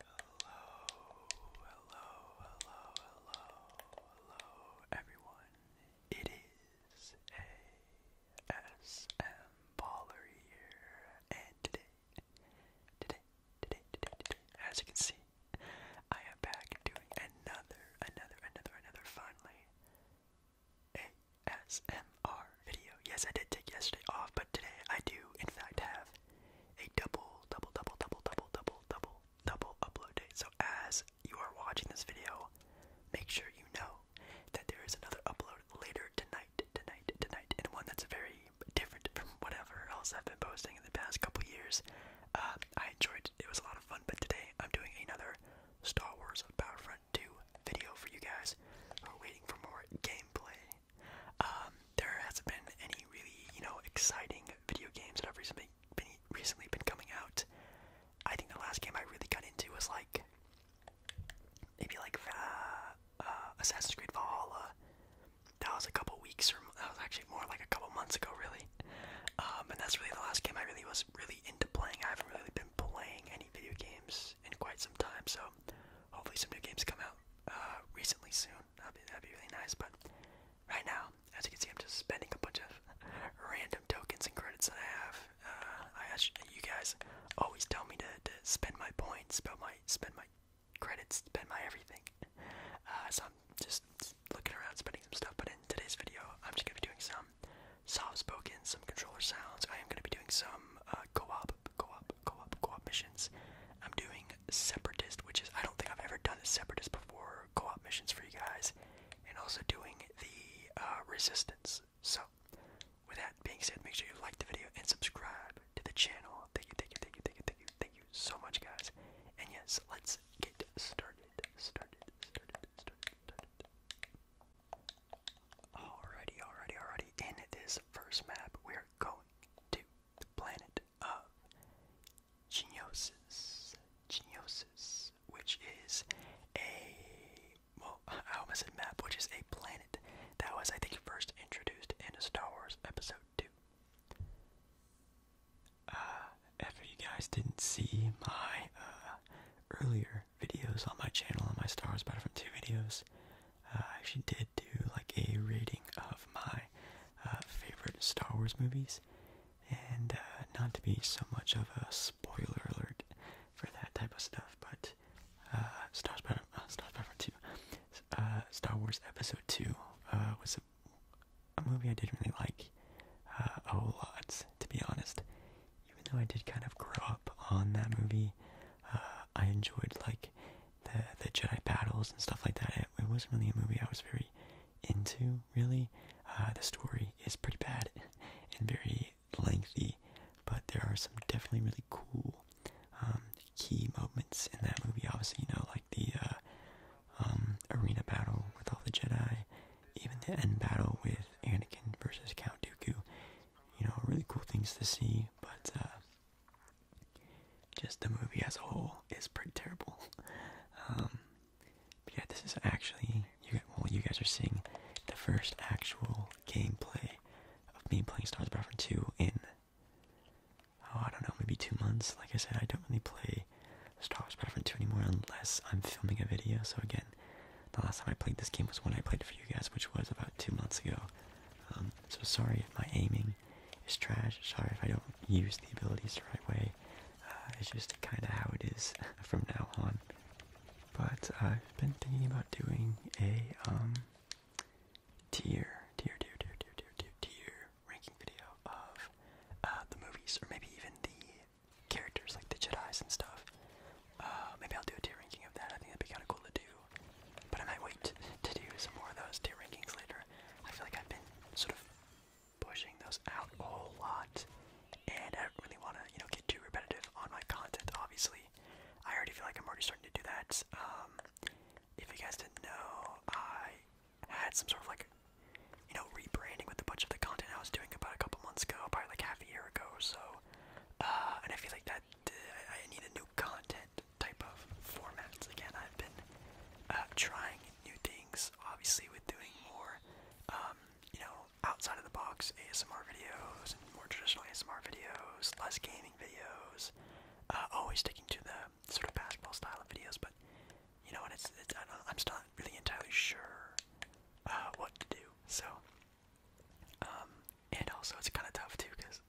hello, hello, hello, hello, everyone. It is ASM Baller and today, today, today, today, today, as you can see, I am back doing another, another, another, another, finally, ASM video. Yes, I did take yesterday off, but today I do, in fact, have a double, double, double, double, double, double, double, double upload date. So as you are watching this video, make sure you know that there is another upload later tonight, tonight, tonight, and one that's very different from whatever else I've been posting in the past couple years. Uh, I enjoyed it. was a lot of fun, but today I'm doing another Star Wars Battlefront 2 video for you guys I'm waiting for more gameplay um, there hasn't been any really, you know, exciting video games that have recently been, recently been coming out. I think the last game I really got into was like maybe like uh, Assassin's Creed Valhalla. That was a couple weeks, or that was actually more like a couple months ago, really. Um, and that's really the last game I really was really into playing. I haven't really been playing any video games in quite some time, so hopefully some new games come out uh, recently soon. That'd be, really nice. But right now, as you can see, I'm just spending a bunch of random tokens and credits that I have. Uh, I you guys always tell me to, spend my points, spend my credits, spend my everything. Uh, so I'm just looking around, spending some stuff. But in today's video, I'm just gonna be doing some soft spoken, some controller sounds. I am gonna be doing some uh, co-op, co-op Co-op missions. I'm doing separatist, which is I don't think I've ever done a separatist before. Co op missions for you guys, and also doing the uh, resistance. So, with that being said, make sure you like the video and subscribe to the channel. Thank you, thank you, thank you, thank you, thank you, thank you so much, guys. And yes, let's get started. Started, started, started, started. Alrighty, alrighty, alrighty. In this first map, we're going to the planet of Geniosis. Geniosis, which is a well, I almost said map, which is a planet that was, I think, first introduced in a Star Wars Episode Two. Uh, if you guys didn't see my uh, earlier videos on my channel, on my Star Wars Battlefront Two videos, uh, I actually did do like a rating of my uh, favorite Star Wars movies, and uh, not to be so much of a spoiler alert for that type of stuff, but uh, Star Wars Star Star Wars Episode Two was a, movie I didn't really like a whole lot, to be honest. Even though I did kind of grow up on that movie, I enjoyed like the the Jedi battles and stuff like that. It, wasn't really a movie I was very into, really. Uh, the story is pretty bad and very lengthy, but there are some definitely really cool um, key moments in that movie. Obviously, you know, like the uh, um, arena battle with all the Jedi, even the end battle with Anakin versus Count Dooku. You know, really cool things to see, but uh, just the movie as a whole is pretty terrible. Um, but yeah, this is actually you. Guys, well, you guys are seeing the first actual gameplay of me playing Star Wars: Battlefront 2 in oh I don't know maybe two months. Like I said, I don't really play Star Wars: Battlefront 2 anymore unless I'm filming a video. So again, the last time I played this game was when I played it for you guys, which was about two months ago. Um, so sorry if my aiming is trash. Sorry if I don't use the abilities the right way. Uh, it's just kind of how it is from now on. But I've been thinking about doing a um, tier, tier, tier, tier, tier, tier, tier, ranking video of uh, the movies, or maybe even the characters like the Jedi's and stuff. Uh, maybe I'll do a tier ranking of that. I think that'd be kind of cool to do. But I might wait to do some more of those tier rankings later. I feel like I've been sort of pushing those out a whole lot, and I don't really want to, you know, get too repetitive on my content. Obviously, I already feel like I'm already starting to do that. Um, if you guys didn't know, I had some sort of like, you know, rebranding with a bunch of the content I was doing about a couple months ago, probably like half a year ago or so. Uh, and I feel like that I need a new content type of formats. Again, I've been uh, trying new things, obviously with doing more, um, you know, outside of the box ASMR videos, and more traditional ASMR videos, less gaming videos, uh, always sticking to the sort of basketball style of videos, but you know, and it's, I am still not really entirely sure uh, what to do, so, um, and also it's kind of tough too, because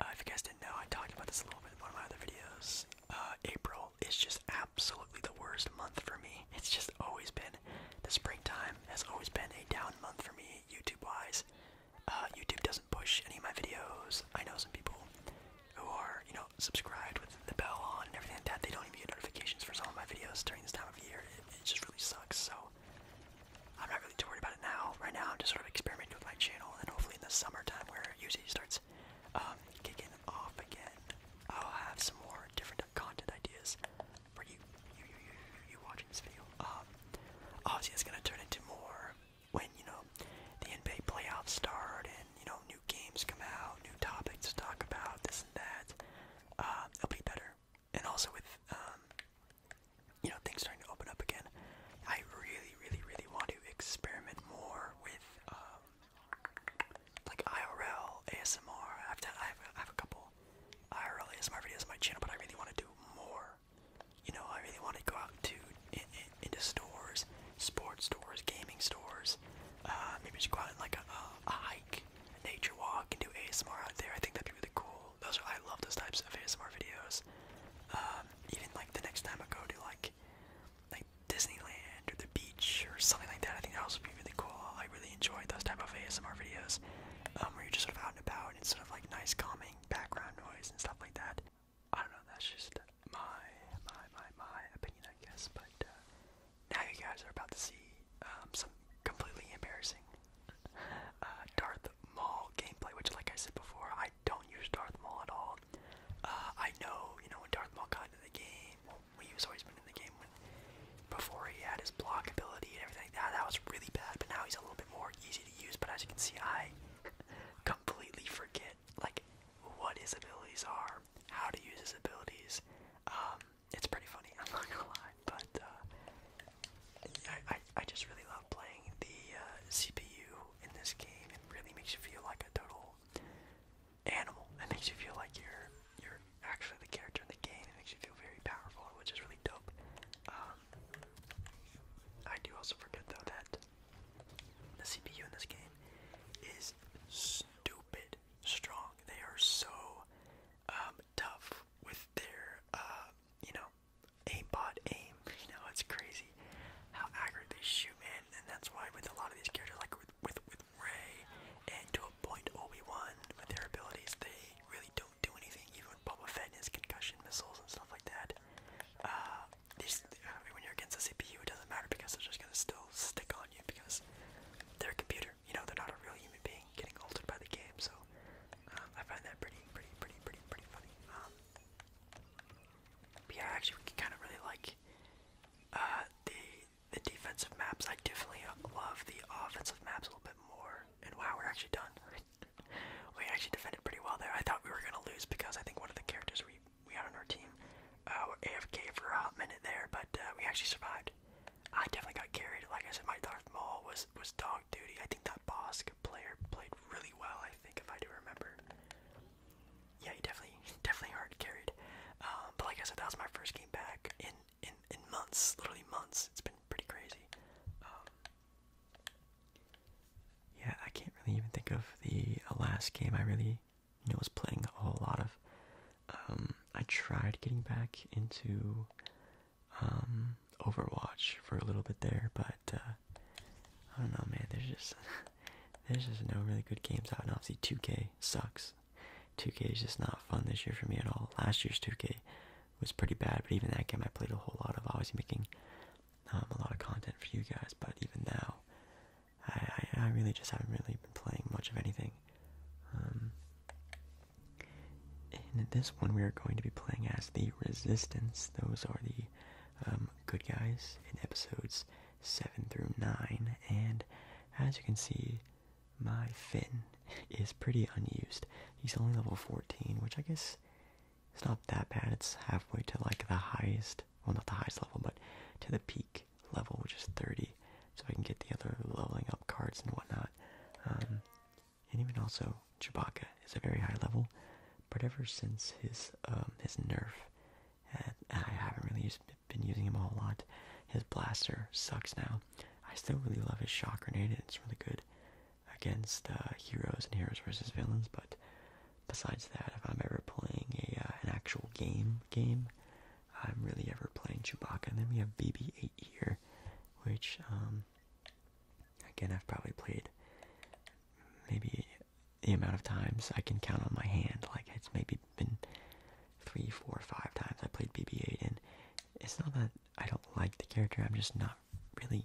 uh, if you guys didn't know, I talked about this a little bit in one of my other videos. Uh, April is just absolutely the worst month for me. It's just always been, the springtime has always been a down month for me, YouTube-wise. Uh, YouTube doesn't push any of my videos. I know some people who are, you know, subscribed with the bell on and everything like that. They don't even get notifications for some of my videos during this time of year. it just really sucks, so I'm not really too worried about it now. Right now, I'm just sort of experimenting with my channel, and hopefully in the summertime, where it starts um, kicking off again, I'll have some more different content ideas for you, you, you, you, you watching this video. Um, it's gonna turn into more when you know the NBA playoffs start, and you know new games come out, new topics to talk about, this and that. Uh, it'll be better, and also with um, you know things starting to open up again. I really, really, really want to experiment more with um, like IRL ASMR. I've done, I have, I have a couple IRL ASMR videos on my channel, but I really want to do more. You know, I really want to go out to in, in, into stores, sports stores, gaming stores. Uh, maybe just go out on like a, a hike, a nature walk, and do ASMR out there. I think that'd be really cool. Those are I love those types of ASMR videos. Um, even like the next time I go to like like Disneyland or the beach or something like that, I think that would be really cool. I really enjoy those type of ASMR videos um, where you're just sort of out and about and sort of like nice calming background noise and stuff like that. I don't know. That's just my my my my opinion, I guess. But uh, now you guys are about to see um, some completely embarrassing uh, Darth Maul gameplay, which, like I said before, I don't use Darth Maul at all. Uh, I know, you know, Darth Maul kind of the game, well, he was always been in the game when, before he had his block ability and everything like that. That was really bad, but now he's a little bit more easy to use. But as you can see, I completely forget like what his abilities are, how to use his abilities. Um, it's pretty funny. I'm not gonna lie, but uh, I, I, just really love playing the uh, CPU in this game. It really makes you feel like a total animal. It makes you feel like you're you're actually the character in the game. It makes you feel very powerful, which is really dope. Um, I do also forget though that the CPU in this game is stupid strong. They are so um, tough with their uh, you know aimbot aim. You know, it's crazy how accurate they shoot, man. And that's why with a lot of these characters, like with with, with Ray and to a point Obi Wan, with their abilities, they really don't do anything. Even with Boba Fett and concussion missiles and stuff like that. Uh, when you're against a CPU, it doesn't matter because they're just gonna still stick on you because they're a computer. You know, they're not a real human being getting altered by the game. So I find that pretty, pretty, pretty, pretty, pretty funny. Um, yeah, I actually kind of really like uh, the the defensive maps. I definitely love the offensive maps a little bit more. And wow, we're actually done. we actually defended pretty well there. I thought we were gonna lose because I think one of the characters we we had on our team uh, AFK for a minute there, but uh, we actually survived. I definitely got carried. Like I said, my Darth Maul was was dog duty. I think that Bosk player played really well. I think if I do remember. Yeah, he definitely definitely hard carried. Um, but like I said, that was my first game back in in in months, literally months. It's been pretty crazy. Um, yeah, I can't really even think of the uh, last game I really you know was playing a whole lot of. Um, I tried getting back into um, Overwatch for a little bit there, but uh, I don't know, man. There's just there's just no really good games out, and obviously 2K sucks. 2K is just not fun this year for me at all. Last year's 2K was pretty bad, but even that game I played a whole lot of. I was making um, a lot of content for you guys, but even now, I, I, really just haven't really been playing much of anything. in um, this one, we are going to be playing as the Resistance. Those are the um, good guys in episodes 7 through 9. And as you can see, my Finn is pretty unused. He's only level 14, which I guess it's not that bad. It's halfway to like the highest, well, not the highest level, but to the peak level, which is 30. So I can get the other leveling up cards and whatnot. Um, and even also Chewbacca is a very high level, but ever since his um, his nerf, and I haven't really used, been using him a whole lot. His blaster sucks now. I still really love his shock grenade. It's really good against uh, heroes and heroes versus villains. But besides that, if I'm ever playing a uh, an actual game game, I'm really ever playing Chewbacca. And then we have BB-8 here, which um, Again, I've probably played maybe the amount of times I can count on my hand. Like, it's maybe been three, four, five times I played BB 8, and it's not that I don't like the character, I'm just not really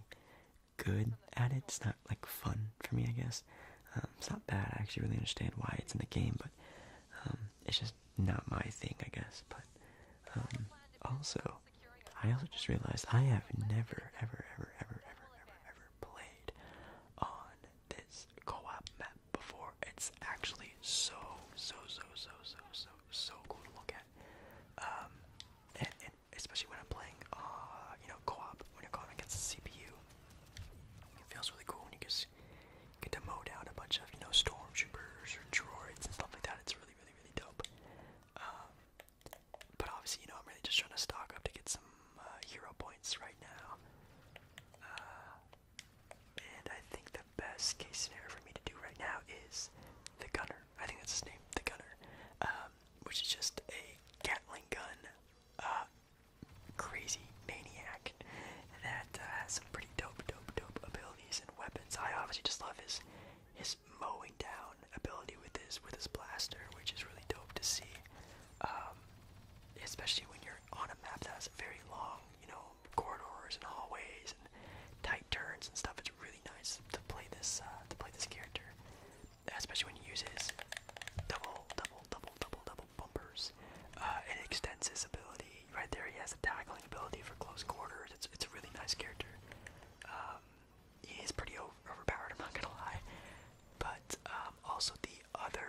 good at it. It's not like fun for me, I guess. Um, it's not bad. I actually really understand why it's in the game, but um, it's just not my thing, I guess. But um, also, I also just realized I have never, ever, ever, ever, ever, ever, ever played on this co-op map before. It's actually so, so, so, so, so, so, so cool to look at. Um, especially when I'm playing, uh, you know, co-op, when you're going against the CPU. It feels really cool when you just get to mow down a bunch of, you know, stormtroopers or droids and stuff like that. It's really, really, really dope. Um, but obviously, you know, I'm really just trying to stock up to get some uh, hero points right now. Uh, and I think the best case scenario for me to do right now is the Gunner. I think that's his name, the Gunner, um, which is just a Gatling gun, uh, crazy maniac that has some pretty dope, dope, dope abilities and weapons. I obviously just love his his mowing down ability with his with his blaster, which is really dope to see. Um, especially when you're on a map that has very long, you know, corridors and hallways and tight turns and stuff. It's really nice to play this uh, to play this character, especially when he uses double, double, double, double, double bumpers. Uh, it extends his ability right there. He has a tackling ability for close quarters. It's it's a really nice character. Um, He's pretty overpowered, I'm not gonna lie. But um, also the other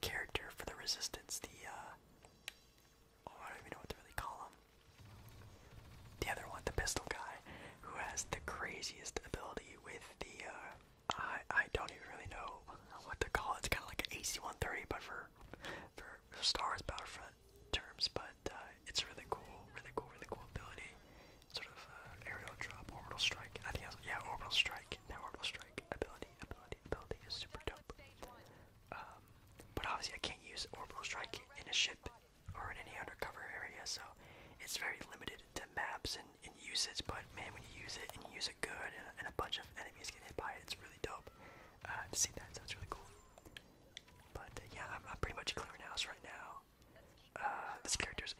character for the resistance, the uh, oh, I don't even know what to really call him. The other one, the pistol guy, who has the craziest ability with the uh, I I don't even really know what to call it. It's kind of like an AC-130, but for for Star Wars Battlefront terms, but uh, it's really cool, really cool, really cool ability. Sort of uh, aerial drop, orbital strike. I think I was, yeah, orbital strike. That orbital strike ability, ability, ability is super dope. Um, but obviously, I can't use orbital strike in a ship or in any undercover area, so it's very limited to maps and, and usage. But man, when you use it and you use it good, and, a bunch of enemies get hit by it, it's really dope uh, to see that. So it's really cool. But uh, yeah, I'm, I'm pretty much clearing house right now. Uh, this character is,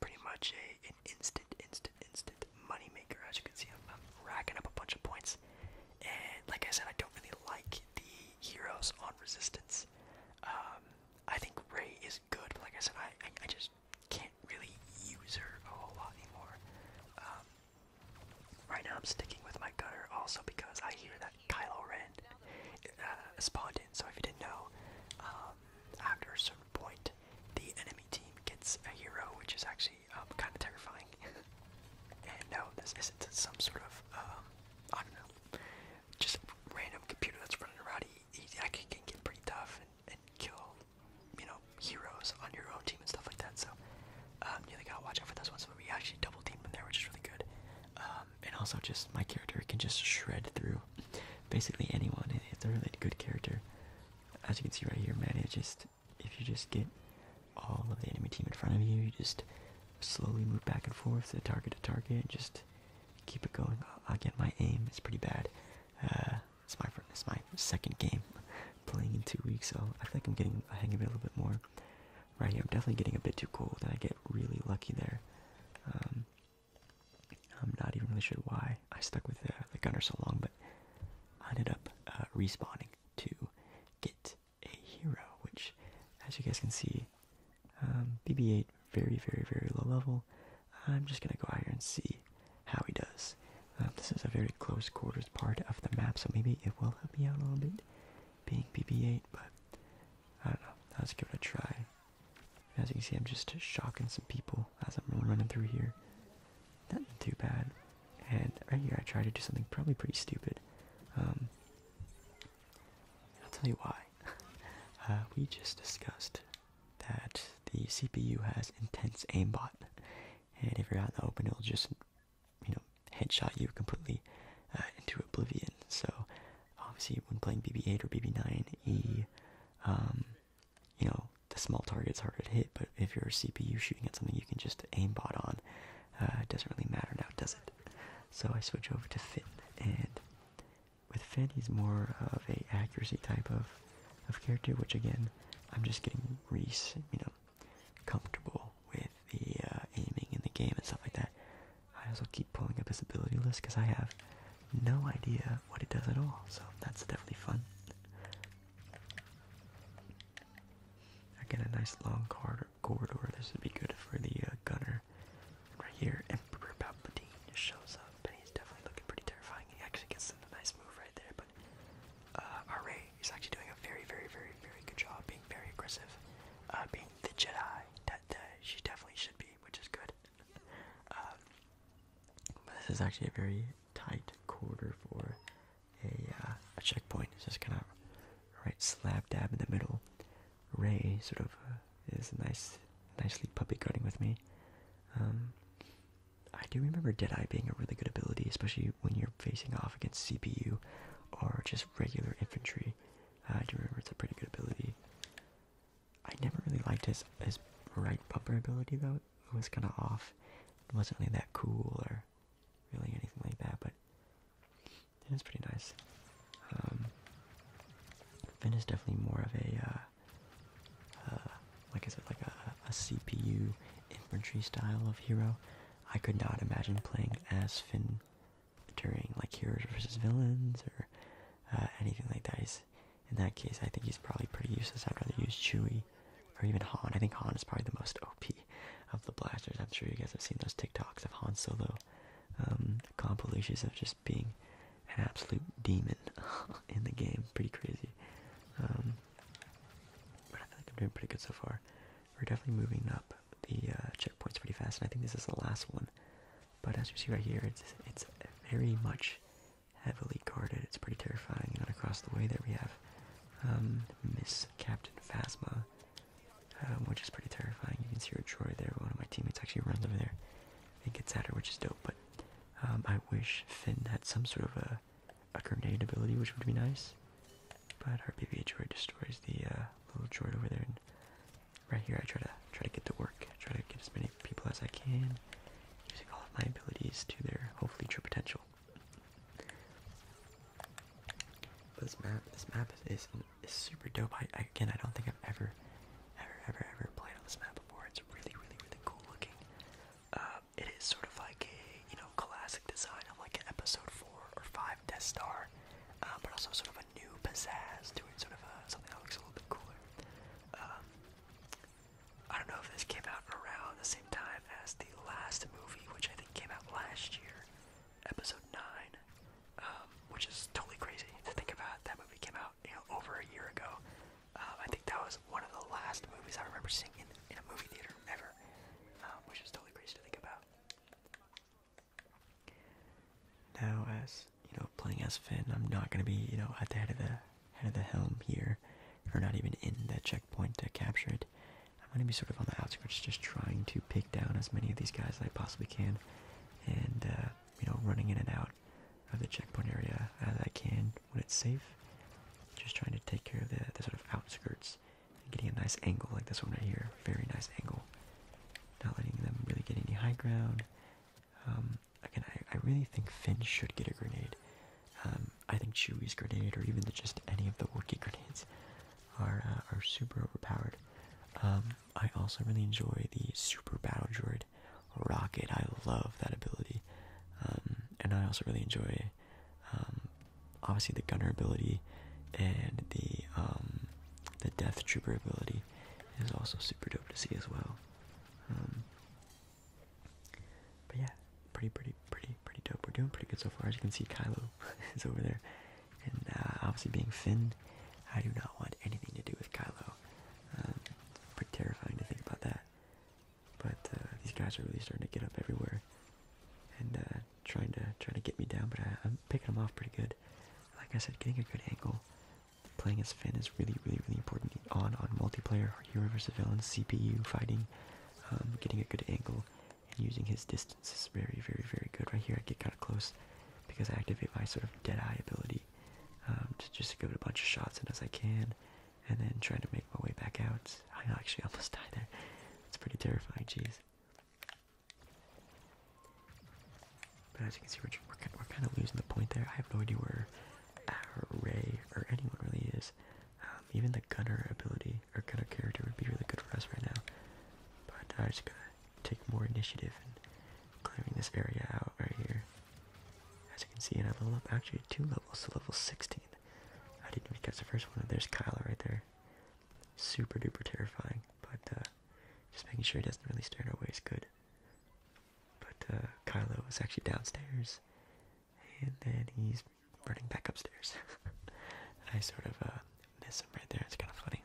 pretty much a, an instant, instant, instant money As you can see, I'm, racking up a bunch of points. And like I said, I don't really like the heroes on Resistance. Um, I think Ray is good, but like I said, I, I, just can't really use her a whole lot anymore. Um, right now, I'm sticking with my gutter also because I hear that Kylo Ren uh, spawned So if you didn't know, um, after a certain point, the enemy team gets a hero, which is actually um, kind of terrifying. and no, this isn't some sort of um, I don't know, just random computer that's running around. He, actually can get pretty tough and, kill, you know, heroes on your own team and stuff like that. So you gotta watch out for those ones. But we actually double team them there, which is really good. Um, and also just my character can just shred through basically anyone. It's a really good character. As you can see right here, man, it just if you just get all of the enemy team in front of you, you just slowly move back and forth to target to target and just keep it going. I get my aim is pretty bad. Uh, it's my it's my second game playing in two weeks, so I think I'm getting a hang of it a little bit more. Right here, I'm definitely getting a bit too cold, and I get really lucky there. Um, I'm not even really sure why I stuck with the, gunner so long, but I ended up uh, respawning to get a hero, which, as you guys can see, um, BB-8 very, very, very low level. I'm just gonna go out here and see how he does. Um, this is a very close quarters part of the map, so maybe it will help me out a little bit, being BB-8, but I don't know. Let's give it a try. As you can see, I'm just shocking some people as I'm running through here. Nothing too bad. And right here, I try to do something probably pretty stupid. Um, I'll tell you why. Uh, we just discussed that the CPU has intense aimbot, and if you're out in the open, it'll just, you know, headshot you completely uh, into oblivion. So obviously when playing BB8 or BB9E, um, you know the small target's harder to hit. But if you're a CPU shooting at something, you can just aimbot on. Uh, it doesn't really matter now, does it? So I switch over to Finn, and with Finn he's more of a accuracy type of of character, which again I'm just getting Reese, you know, comfortable with the uh, aiming in the game and stuff like that. I also keep pulling up his ability list because I have no idea what it does at all. So that's definitely fun. I get a nice long corridor. This would be good for the uh, gunner. right here, Emperor Palpatine shows up, and he's definitely looking pretty terrifying. He actually gets a nice move right there, but uh, Array actually doing a very, very, very, very good job being very aggressive, uh, being the Jedi that, that she definitely should be, which is good. Um, this is actually a very tight quarter for a, uh, checkpoint. It's just kind of right slab dab in the middle. Ray sort of uh, is a nice, nicely puppy guarding with me. Um, I do remember Deadeye being a really good ability, especially when you're facing off against CPU or just regular infantry. I do remember it's a pretty good ability. I never really liked his his right bumper ability though. It was kind of off. It wasn't really that cool or really anything like that. But it was pretty nice. Um, Finn is definitely more of a uh, uh, like is it like a, a CPU infantry style of hero. I could not imagine playing as Finn during like heroes versus villains or uh, anything like that. in that case, I think he's probably pretty useless. I'd rather use Chewy or even Han. I think Han is probably the most OP of the blasters. I'm sure you guys have seen those TikToks of Han Solo um, compilations of just being an absolute demon in the game. Pretty crazy. Um, but I feel I'm doing pretty good so far. We're definitely moving up the uh, checkpoints pretty fast, and I think this is the last one but as you see right here, it's it's very much heavily guarded. It's pretty terrifying. And across the way there we have um, Miss Captain Phasma, um, which is pretty terrifying. You can see her drawer there. One of my teammates actually runs over there and gets at her, which is dope. But um, I wish Finn had some sort of a, a grenade ability, which would be nice. But our BB droid destroys the uh, little droid over there right here I try to try to get to work, try to get as many people as I can, using all of my abilities to their hopefully true potential. But this map, this map is, is, super dope. I, again, I don't think I've ever, ever, ever, ever played on this map before. It's really, really, really cool looking. Uh, it is sort of like a you know classic design of like an episode four or five Death Star, uh, but also sort of new pizzazz to sort of uh, something that looks a little bit cooler. Um, I don't know if this came out around the same time as the last movie, which I think came out last year, episode 9, um, which is totally crazy to think about. That movie came out over a year ago. Um, I think that was one of the last movies I remember seeing in, a movie theater ever, which is totally crazy to think about. Now, as you know, playing as Finn, I'm not gonna be you know at the head of the head of the helm here, or not even in that checkpoint to capture it. I'm gonna be sort of on the outskirts, just trying to pick down as many of these guys as I possibly can, and uh, you know, running in and out of the checkpoint area as I can when it's safe. Just trying to take care of the, the sort of outskirts getting a nice angle like this one right here. Very nice angle not letting them really get any high ground. Um, again, I, really think Finn should get a grenade. Um, I think Chewie's grenade, or even just any of the Wookiee grenades, are uh, are super overpowered. Um, I also really enjoy the Super Battle Droid Rocket. I love that ability, and I also really enjoy obviously the Gunner ability and the the Death Trooper ability movie is also super dope to see as well. Um, but yeah, pretty, pretty, pretty, pretty dope. We're doing pretty good so far. As you can see, Kylo is over there, and uh, obviously being Finn, I do not want anything to do with Kylo. Um, pretty terrifying to think about that. But uh, these guys are really starting to get up everywhere and uh, trying to trying to get me down, but I'm picking them off pretty good. Like I said, getting a good angle Playing as Finn is really, really, really important on on multiplayer, hero versus villain, CPU fighting, um, getting a good angle, and using his distance is very, very, very good. Right here, I get kind of close because I activate my sort of dead eye ability um, to just give it a bunch of shots and as I can, and then trying to make my way back out. I actually almost die there. It's pretty terrifying. Jeez. But as you can see, we're, kind of losing the point there. I have no idea where our uh, Ray or anyone really is. Um, even the gunner ability or gunner character would be really good for us right now. But i just got to take more initiative and clearing this area out right here. As you can see, and I level up actually two levels to so level 16. I didn't even catch the first one. There's Kyla right there. Super duper terrifying, but uh, just making sure he doesn't really stare in our way is good. But uh, Kylo is actually downstairs, and then he's running back upstairs. I sort of uh, miss him right there. It's kind of funny.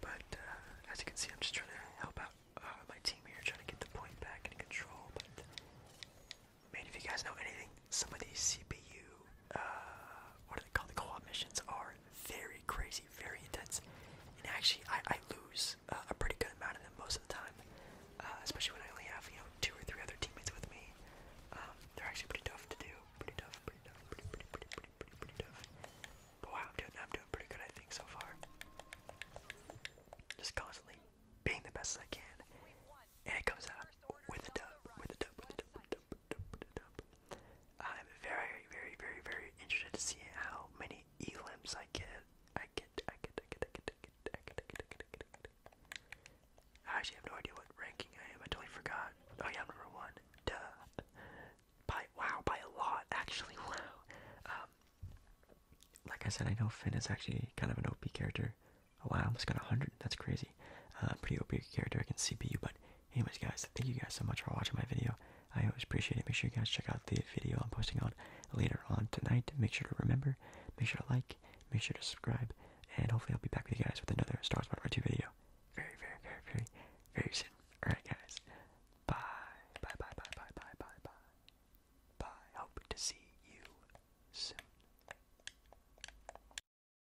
But uh, as you can see, I'm just trying to help out uh, my team here, trying to get the point back in control. But man, if you guys know anything, some CPU uh, what do they call the co-op missions are very crazy, very intense, and actually I, I lose uh, a pretty good amount of them most of the time, uh, especially when I only have you know two or three other teammates with me. Um, they're actually pretty tough to do, pretty tough, pretty tough, pretty pretty pretty pretty pretty, pretty tough. But wow, I'm doing I'm doing pretty good I think so far. Just constantly being the best as I can, and it comes out with a dub, with a dub, with a dub, with a dub, with a dub, with a dub. I'm very, very, very, very interested to see how many elims I get. I get, I get, I get, I get, I get, I get, I get, I get, I get, I get. I actually have no idea what ranking I am. I totally forgot. Oh yeah, I'm number one. Duh. By wow, by a lot actually. Wow. Um. Like I said, I know Finn is actually kind of an OP character. Oh wow, I almost got 100. That's crazy. Uh, pretty OP character against CPU, but Anyways, guys, thank you guys so much for watching my video. I always appreciate it. Make sure you guys check out the video I'm posting on later on tonight. Make sure to remember, make sure to like, make sure to subscribe, and hopefully I'll be back with you guys with another Star Wars 2 video very, very, very, very, very soon. Alright, guys. Bye. Bye, bye, bye, bye, bye, bye, bye. Bye. Hope to see you soon.